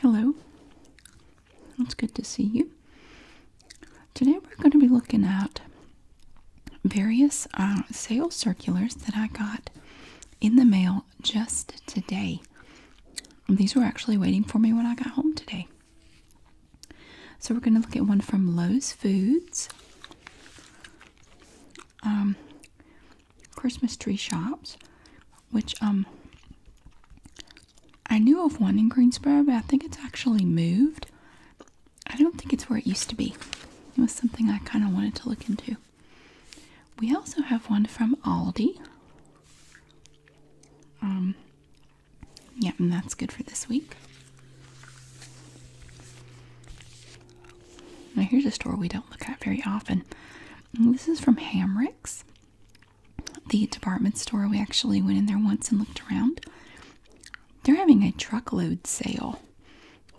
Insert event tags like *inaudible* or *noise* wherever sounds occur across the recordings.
Hello, it's good to see you. Today we're going to be looking at various uh, sales circulars that I got in the mail just today. These were actually waiting for me when I got home today. So we're going to look at one from Lowe's Foods. Um, Christmas tree shops, which um, I knew of one in Greensboro, but I think it's actually moved. I don't think it's where it used to be. It was something I kind of wanted to look into. We also have one from Aldi. Um, yep, and that's good for this week. Now, here's a store we don't look at very often, this is from Hamricks, the department store. We actually went in there once and looked around. They're having a truckload sale,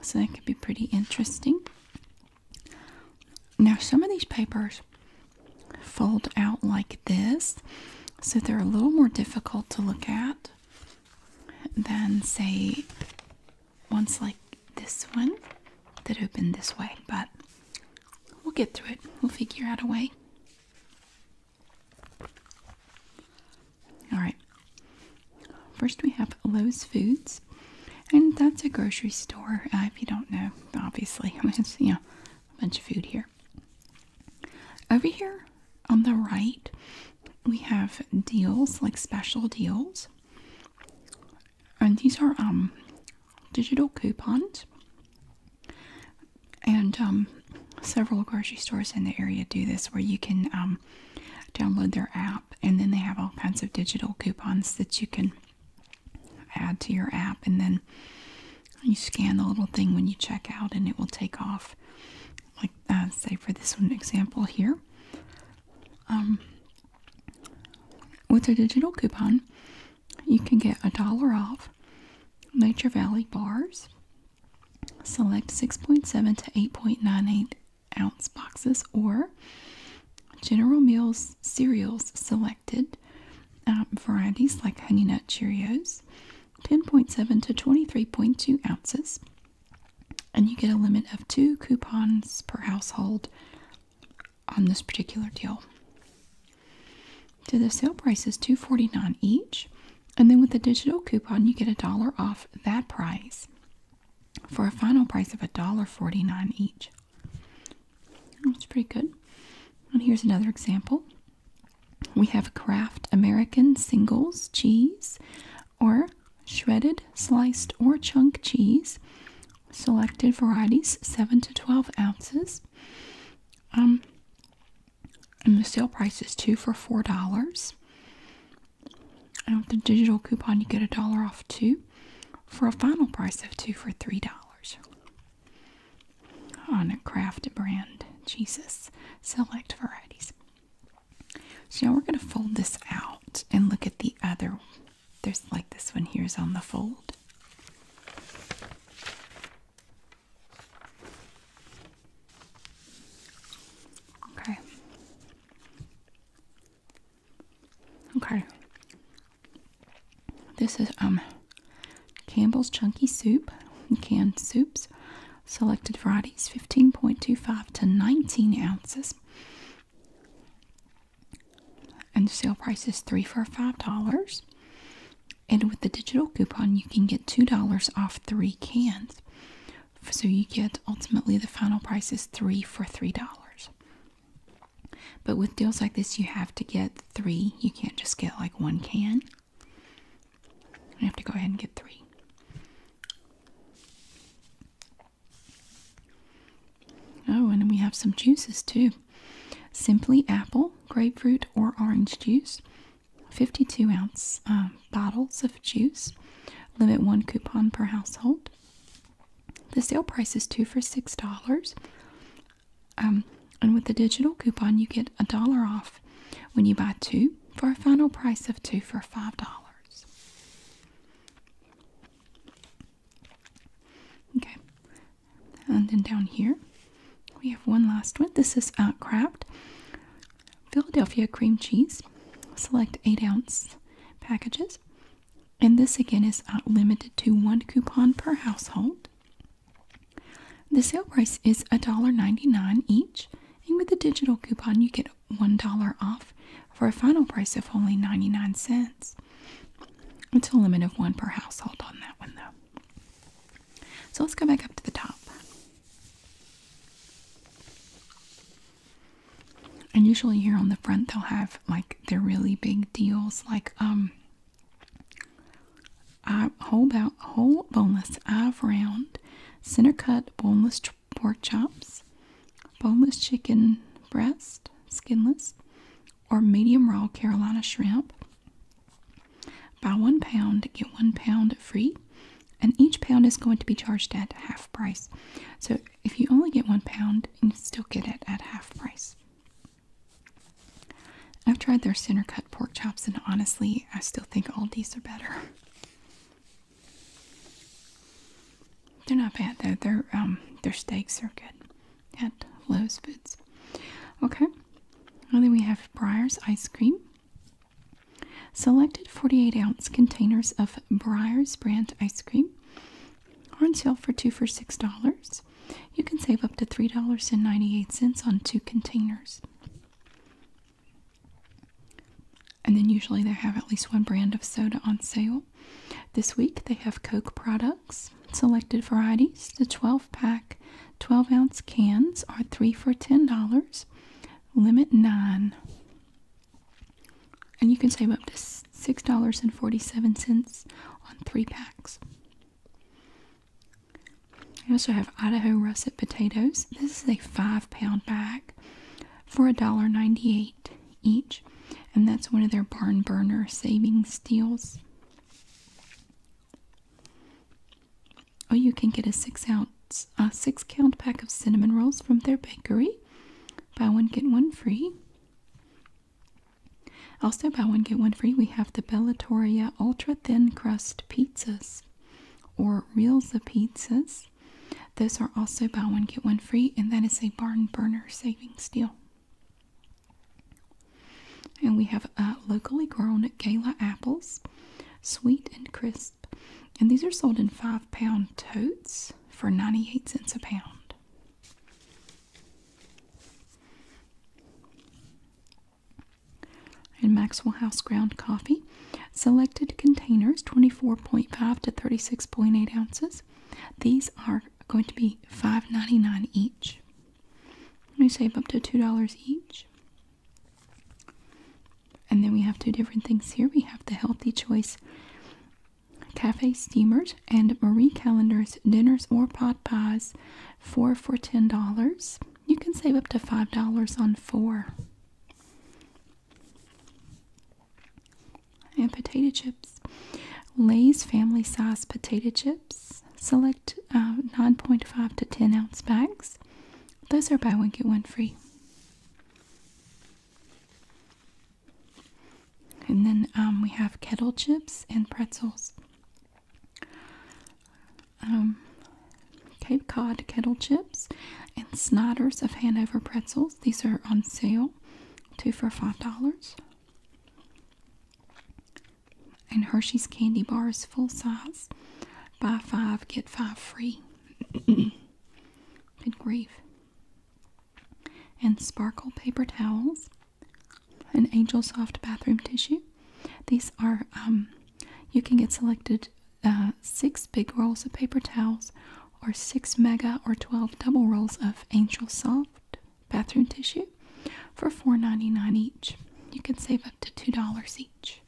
so that could be pretty interesting. Now, some of these papers fold out like this, so they're a little more difficult to look at than, say, ones like this one that open this way, but we'll get through it. We'll figure out a way. All right. First, we have Lowe's Foods, and that's a grocery store. Uh, if you don't know, obviously, I mean, it's you know a bunch of food here. Over here on the right, we have deals like special deals, and these are um, digital coupons and um, several grocery stores in the area do this where you can um, download their app and then they have all kinds of digital coupons that you can add to your app and then you scan the little thing when you check out and it will take off like uh, say for this one example here with a digital coupon, you can get a dollar off Nature Valley bars, select 6.7 to 8.98 ounce boxes, or General Mills cereals selected um, varieties like Honey Nut Cheerios, 10.7 to 23.2 ounces, and you get a limit of two coupons per household on this particular deal. So the sale price is $249 each, and then with the digital coupon you get a dollar off that price for a final price of $1.49 each. That's pretty good. And here's another example. We have Kraft American Singles Cheese or shredded, sliced, or chunk cheese selected varieties, 7 to 12 ounces. Um, and the sale price is two for four dollars. I with the digital coupon, you get a dollar off two for a final price of two for three dollars. On a craft brand, Jesus, select varieties. So now we're going to fold this out and look at the other there's like this one here is on the fold. Okay. Okay. This is um Campbell's Chunky Soup, canned soups, selected varieties 15.25 to 19 ounces and the sale price is three for five dollars. And with the digital coupon, you can get two dollars off three cans. So you get ultimately the final price is three for three dollars. But with deals like this, you have to get three. You can't just get like one can. You have to go ahead and get three. Oh, and we have some juices too. Simply apple, grapefruit, or orange juice. 52 ounce uh, bottles of juice. Limit one coupon per household. The sale price is two for $6. Um, and with the digital coupon, you get a dollar off when you buy two for a final price of two for $5. Okay, and then down here we have one last one. This is uh, Kraft Philadelphia cream cheese. Select 8 ounce packages. And this again is uh, limited to one coupon per household. The sale price is $1.99 each, and with the digital coupon, you get $1 off for a final price of only 99 cents. It's a limit of one per household on that one, though. So let's go back up to the top. And usually here on the front, they'll have like their really big deals, like um, whole, bo whole boneless i round, center cut boneless pork chops, boneless chicken breast, skinless, or medium raw Carolina shrimp. Buy one pound, get one pound free, and each pound is going to be charged at half price. So if you only get one pound, you still get it at half price. I've tried their center cut pork chops, and honestly, I still think all these are better. They're not bad though. Their um, their steaks are good at Lowe's Foods. Okay. And then we have Breyer's ice cream. Selected 48 ounce containers of Breyer's brand ice cream are on sale for two for six dollars. You can save up to three dollars and ninety-eight cents on two containers. And then usually they have at least one brand of soda on sale. This week they have Coke products, selected varieties. The 12 pack, 12 ounce cans are three for $10, limit nine. And you can save up to $6.47 on three packs. I also have Idaho russet potatoes. This is a five pound bag for $1.98 each, and that's one of their barn burner saving steals. Oh, you can get a six ounce, a six count pack of cinnamon rolls from their bakery. Buy one, get one free. Also, buy one, get one free. We have the Bellatoria Ultra Thin Crust Pizzas or Reels Pizzas. Those are also buy one, get one free, and that is a barn burner saving steal. And we have uh, locally grown gala apples, sweet and crisp. And these are sold in five pound totes for 98 cents a pound. And Maxwell House ground coffee. Selected containers 24.5 to 36.8 ounces these. are going to be $5.99 each. We save up to $2 each. And then we have two different things here. We have the Healthy Choice Cafe Steamers and Marie Callender's Dinners or Pot Pies, four for $10. You can save up to $5 on four and potato chips. Lay's family size potato chips. Select uh, 9.5 to 10 ounce bags. Those are buy one, get one free. And then um, we have kettle chips and pretzels. Um, Cape Cod kettle chips and Snyder's of Hanover pretzels. These are on sale, two for five dollars. And Hershey's candy bars, full size. Buy five, get five free. Good grief. And sparkle paper towels. and Angel Soft bathroom tissue. These are, um, you can get selected uh, six big rolls of paper towels or six mega or 12 double rolls of Angel Soft bathroom tissue for $4.99 each. You can save up to $2 each.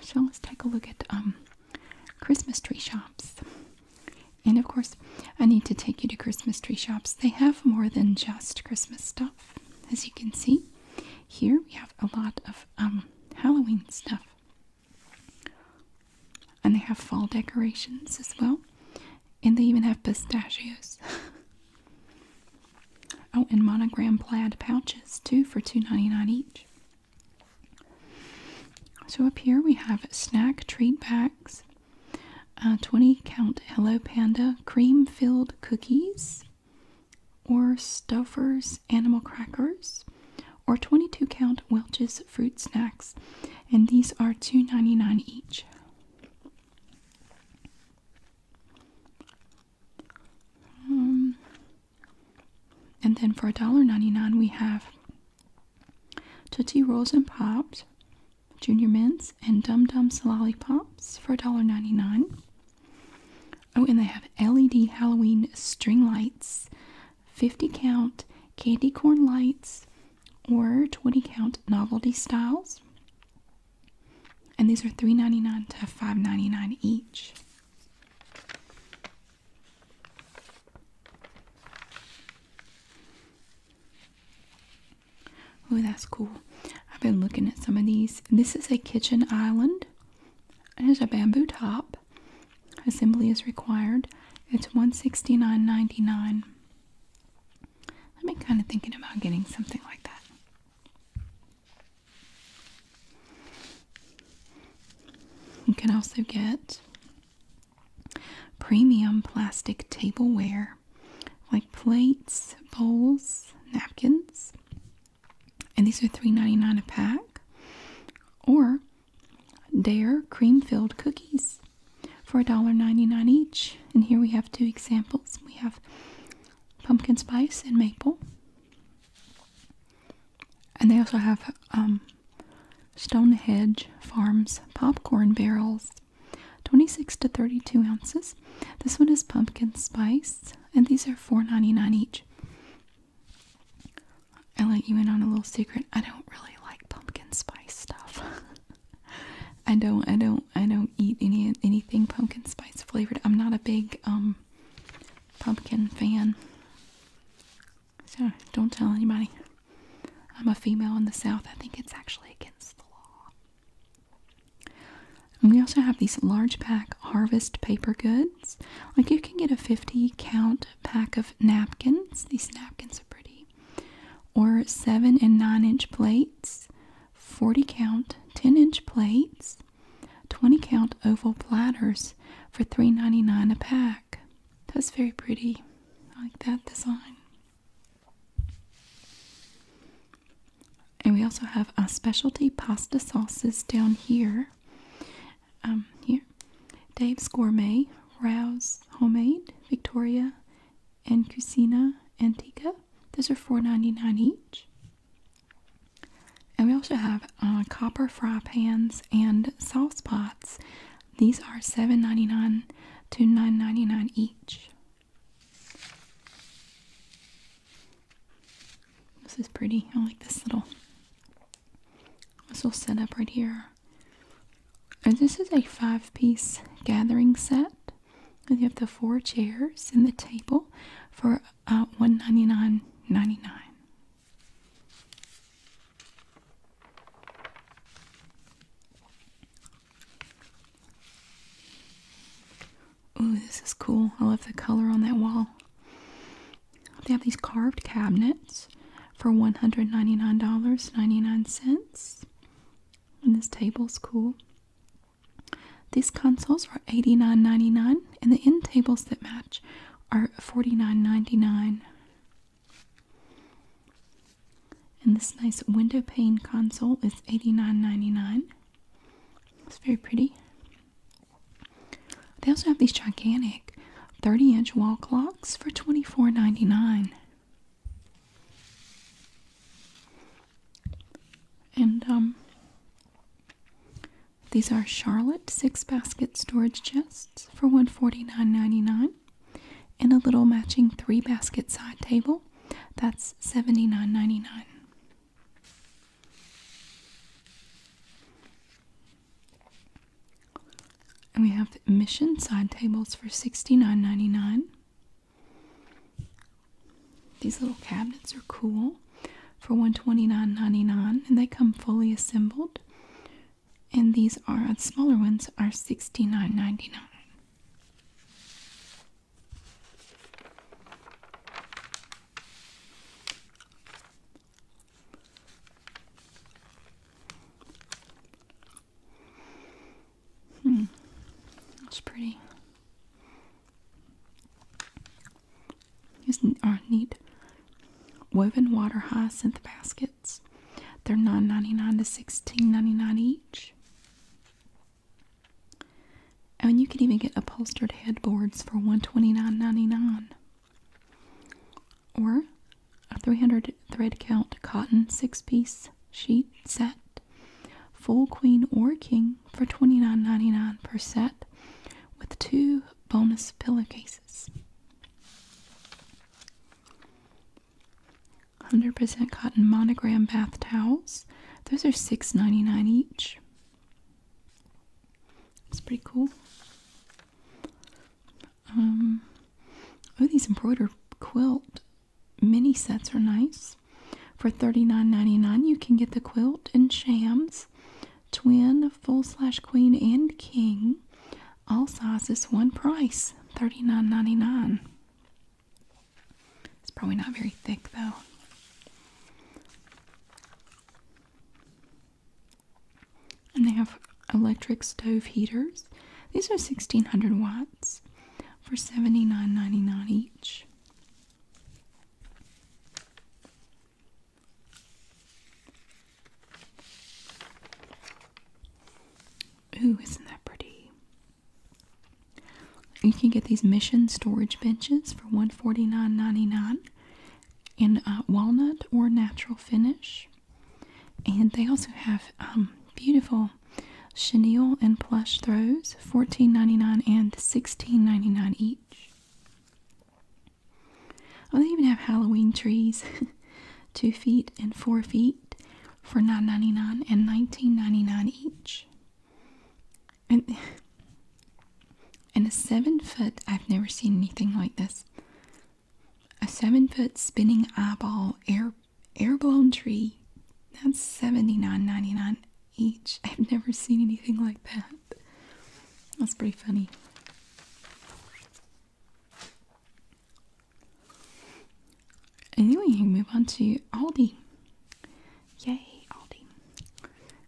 so let's take a look at um, Christmas tree shops. And of course, I need to take you to Christmas tree shops. They have more than just Christmas stuff. As you can see, here we have a lot of um, Halloween stuff. And they have fall decorations as well. And they even have pistachios. *laughs* oh, and monogram plaid pouches too for $2.99 each. So up here we have snack treat bags, uh, 20 count Hello Panda cream filled cookies, or Stouffer's animal crackers, or 22 count Welch's fruit snacks, and these are $2.99 each. Um, and then for $1.99, we have Tootsie Rolls and Pops, Junior Mints, and Dum Dums Lollipops for $1.99. Oh, and they have LED Halloween string lights, 50 count candy corn lights, or 20 count novelty styles. And these are $3.99 to $5.99 each. Oh, that's cool. I've been looking at some of these. This is a kitchen island it is a bamboo top. Assembly is required. It's $169.99. I've been kind of thinking about getting something like that. You can also get premium plastic tableware like plates, bowls, napkins, and these are $3.99 a pack. Or Dare cream filled cookies for $1.99 each. And here we have two examples we have pumpkin spice and maple. And they also have um, Stonehenge Farms popcorn barrels, 26 to 32 ounces. This one is pumpkin spice, and these are $4.99 each. I let you in on a little secret. I don't really like pumpkin spice stuff. *laughs* I don't I don't I don't eat any anything pumpkin spice flavored. I'm not a big um, pumpkin fan. So don't tell anybody. I'm a female in the South. I think it's actually against the law we also have these large pack harvest paper goods. Like you can get a 50 count pack of napkins. These napkins are pretty. Or 7 and 9 inch plates, 40 count 10 inch plates, 20 count oval platters for $3.99 a pack. That's very pretty. I like that design. And we also have our specialty pasta sauces down here. Um, here, Dave's Gourmet, Rouse Homemade, Victoria, and Cucina Antica. Those are $4.99 each. And we also have uh, copper fry pans and sauce pots. These are $7.99 to $9.99 each. This is pretty. I like this little this little setup right here. And this is a five piece gathering set. And you have the four chairs and the table for uh, $199.99. Ooh, this is cool. I love the color on that wall. They have these carved cabinets for $199.99. And this table's cool. These consoles are $89.99 and the end tables that match are $49.99. And this nice window pane console is $89.99. It's very pretty. They also have these gigantic 30 inch wall clocks for $24.99. And um, these are Charlotte six basket storage chests for $149.99 and a little matching three basket side table that's $79.99. And we have the Mission side tables for sixty nine ninety nine. These little cabinets are cool for 129 and they come fully assembled. And these are smaller ones are sixty nine ninety nine. Hmm. That's pretty. is are neat. Woven water hyacinth baskets. They're nine ninety nine to sixteen ninety nine each. And you can even get upholstered headboards for $129.99 or a 300 thread count cotton six piece sheet set, full queen or king for $29.99 per set with two bonus pillowcases. 100% cotton monogram bath towels. Those are $6.99 each. It's pretty cool. Um, oh, these embroidered quilt mini sets are nice. For $39.99, you can get the quilt and shams, twin, full slash queen, and king. All sizes, one price, $39.99. It's probably not very thick though. And they have electric stove heaters. These are 1600 watts for $79.99 each. Ooh, isn't that pretty? You can get these mission storage benches for $149.99 in uh, walnut or natural finish. And they also have um, beautiful chenille and plush throws, $14.99 and $16.99 each. Oh, they even have Halloween trees, *laughs* two feet and four feet for $9.99 and $19.99 each. And a seven foot I've never seen anything like this. A seven foot spinning eyeball air air blown tree. That's seventy nine ninety nine each. I've never seen anything like that. That's pretty funny. And then we can move on to Aldi. Yay, Aldi.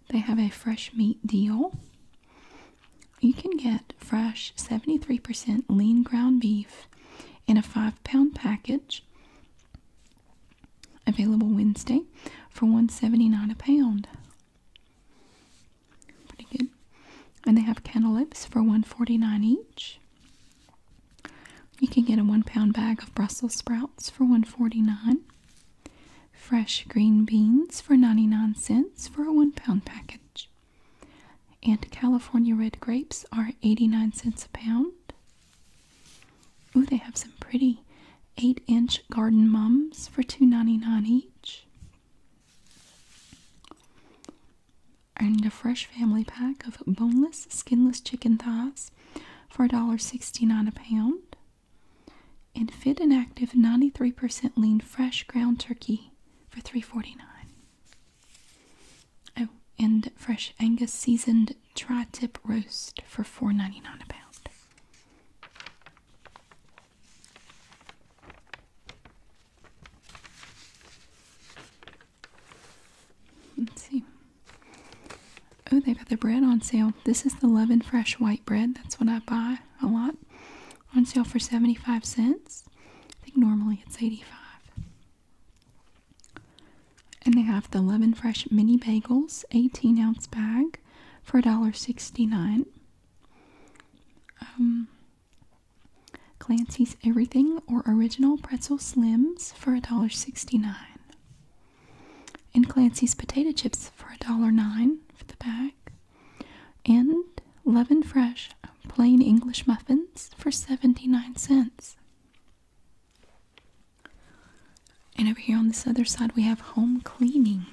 They have a fresh meat deal. You can get fresh 73% lean ground beef in a five pound package available Wednesday for 179 a pound. Pretty good. And they have cantaloupes for 149 each. You can get a one pound bag of Brussels sprouts for 149 Fresh green beans for 99 cents for a one pound package. And California red grapes are 89 cents a pound. Ooh, they have some pretty 8 inch garden mums for two ninety-nine each. I need a fresh family pack of boneless, skinless chicken thighs for $1.69 a pound and fit and active 93% lean fresh ground turkey for 349 oh and fresh angus seasoned tri-tip roast for 4.99 a pound Let's see. Oh, they've had the bread on sale. This is the Love Fresh white bread. That's what I buy a lot. On sale for 75 cents. I think normally it's 85. And they have the Love Fresh mini bagels, 18 ounce bag for $1.69. Um, Clancy's Everything or Original Pretzel Slims for $1.69 and Clancy's potato chips for $1.09 for the bag, and Leaven Fresh plain English muffins for 79 cents. And over here on this other side, we have home cleaning.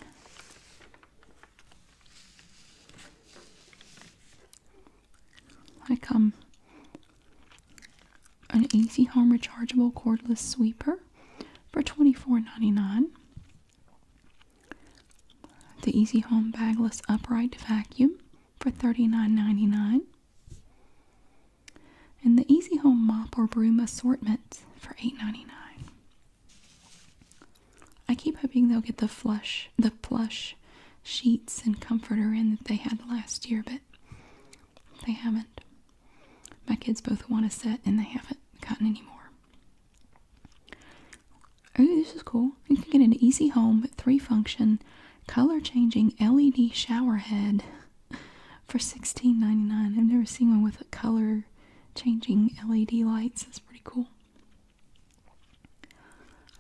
I come um, an Easy Home rechargeable cordless sweeper for $24.99. The Easy Home Bagless Upright Vacuum for $39.99. And the Easy Home Mop or Broom Assortment for $8.99. I keep hoping they'll get the flush, the plush sheets and comforter in that they had last year, but they haven't. My kids both want a set and they haven't gotten any more. Oh, this is cool. You can get an easy home, three function, color changing LED shower head *laughs* for $16.99. I've never seen one with a color changing LED lights. That's pretty cool.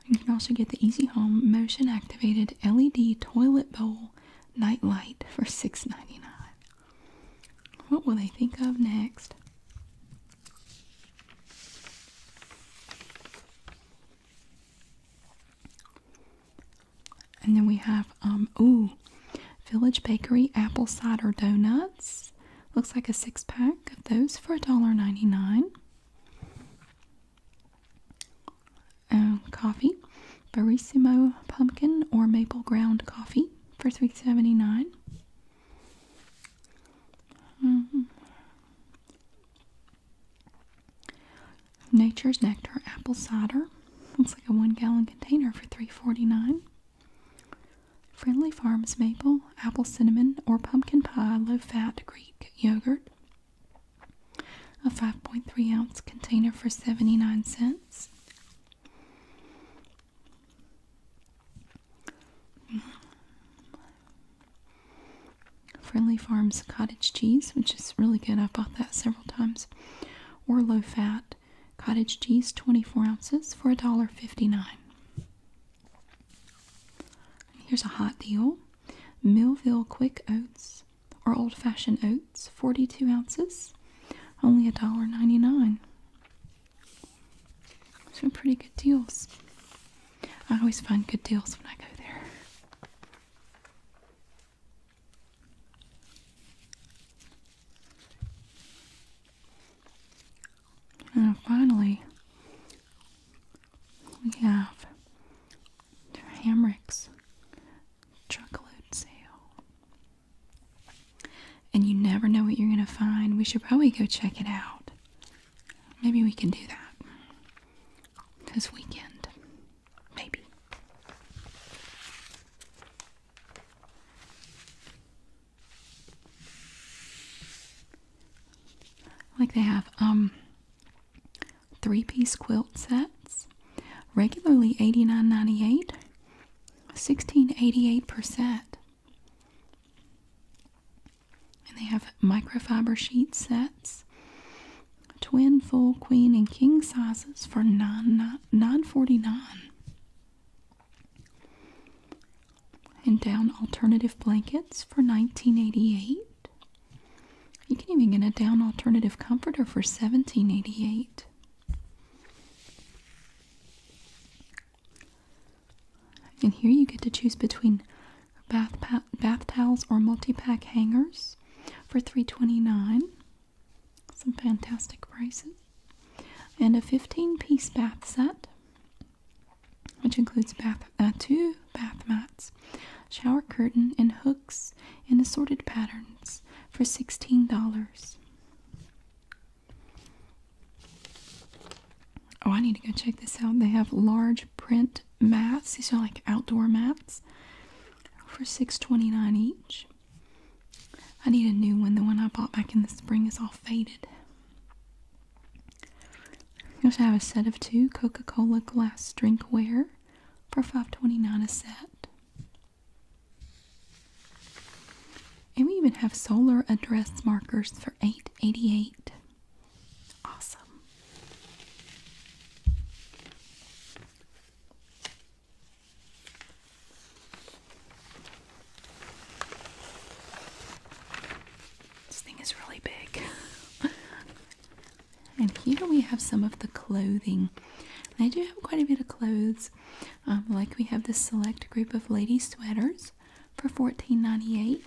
You can also get the Easy Home motion activated LED toilet bowl nightlight for $6.99. What will they think of next? And then we have, um, ooh, Village Bakery Apple Cider Donuts. Looks like a six pack of those for $1.99. Um, coffee. Barissimo pumpkin or maple ground coffee for 3 79 mm-hmm. Nature's Nectar apple cider. Looks like a one gallon container for three forty nine. Friendly Farms maple, apple cinnamon, or pumpkin pie low fat Greek yogurt. A 5.3 ounce container for 79 cents. Friendly Farms cottage cheese, which is really good. I've bought that several times. Or low fat cottage cheese, 24 ounces for $1.59. Here's a hot deal Millville Quick Oats or Old Fashioned Oats. It's 42 ounces, only a dollar ninety-nine. Some pretty good deals. I always find good deals when I go there. And finally, we have Hamrick's chocolate sale. And you never know what you're going to find. We should probably go check it out. Maybe we can do that this weekend. Maybe. Like they have um three-piece quilt sets, regularly $89.98. 1688%. And they have microfiber sheet sets, twin, full, queen, and king sizes for nine, 949 And down alternative blankets for 1988 you can even get a down alternative comforter for 1788 and here you get to choose between bath, bath towels or multi-pack hangers for $3.29. Some fantastic prices. And a 15-piece bath set, which includes bath uh, two bath mats, shower curtain, and hooks in assorted patterns for $16. Oh, I need to go check this out. They have large print mats. These are like outdoor mats for six twenty nine each. I need a new one. The one I bought back in the spring is all faded. also have a set of two Coca-Cola glass drinkware for five twenty nine a set. And we even have solar address markers for 888. Awesome. This thing is really big. *laughs* and here we have some of the clothing. I do have quite a bit of clothes um, like we have the select group of lady sweaters for $14.98.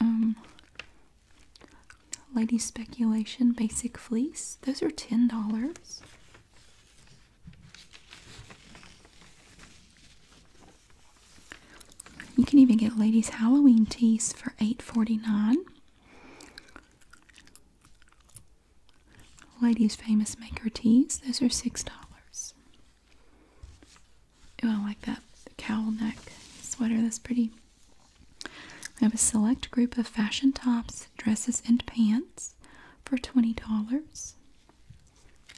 Um, lady speculation basic fleece. Those are $10. You can even get ladies Halloween teas for $8.49. Ladies Famous Maker tees. Those are six dollars. Oh, I like that the cowl neck sweater. That's pretty. We have a select group of fashion tops, dresses, and pants for twenty dollars,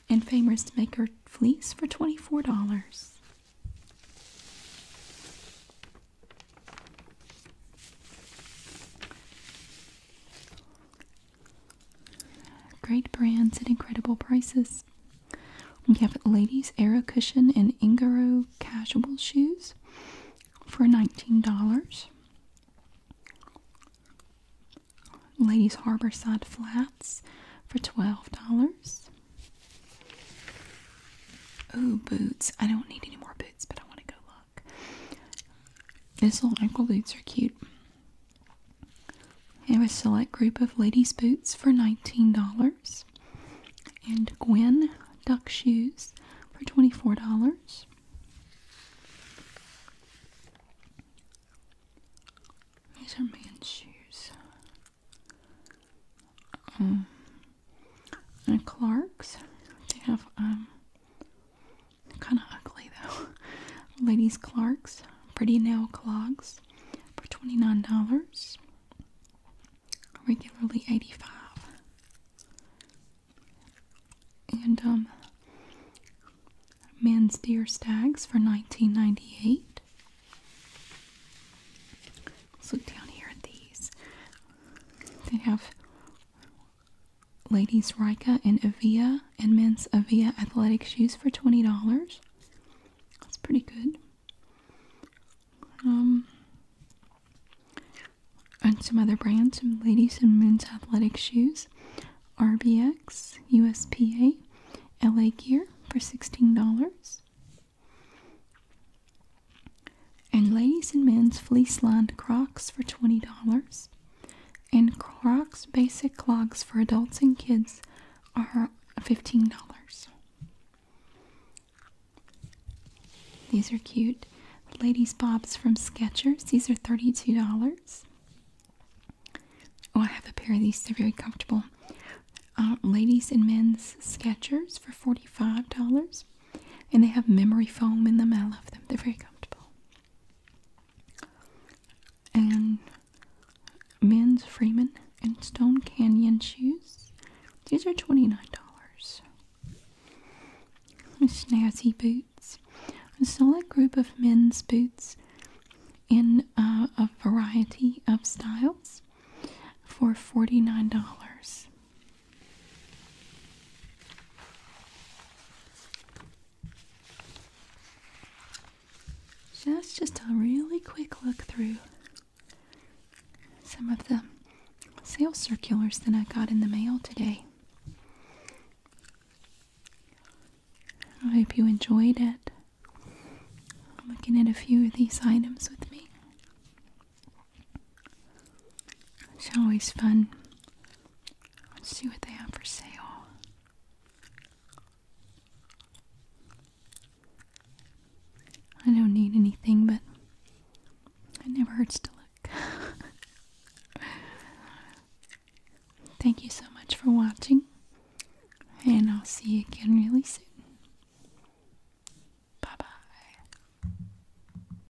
and Famous Maker fleece for twenty-four dollars. Great brands at incredible prices. We have Ladies Era Cushion and Ingaro Casual Shoes for $19. Ladies Harborside Flats for $12. Oh, boots. I don't need any more boots, but I want to go look. These little ankle boots are cute. It have a select group of ladies' boots for $19. And Gwen duck shoes for $24. These are man's shoes. Um, and Clark's, they have um, Kind of ugly though. *laughs* Ladies Clark's Pretty Nail Clogs for $29. Regularly 85 And um Men's Deer Stags for 1998 Let's look down here at these. They have ladies Rika and Avia and men's Avia athletic shoes for $20. That's pretty good. Um, and some other brands, some ladies and men's athletic shoes, RBX, USPA, LA Gear for $16. And ladies and men's fleece lined Crocs for $20. And Crocs basic clogs for adults and kids are $15. These are cute. ladies' bobs from Skechers, these are $32. Oh, I have a pair of these, they're very comfortable. Uh, ladies and men's Skechers for $45. And they have memory foam in them. I love them. They're very comfortable. And men's Freeman and Stone Canyon shoes. These are $29. Snazzy boots. A solid group of men's boots in uh, a variety of styles for $49. So that's just a really quick look through some of the sales circulars that I got in the mail today. I hope you enjoyed it. I'm looking at a few of these items with me. It's always fun. Let's see what they have for sale. I don't need anything, but it never hurts to look. *laughs* Thank you so much for watching, and I'll see you again really soon.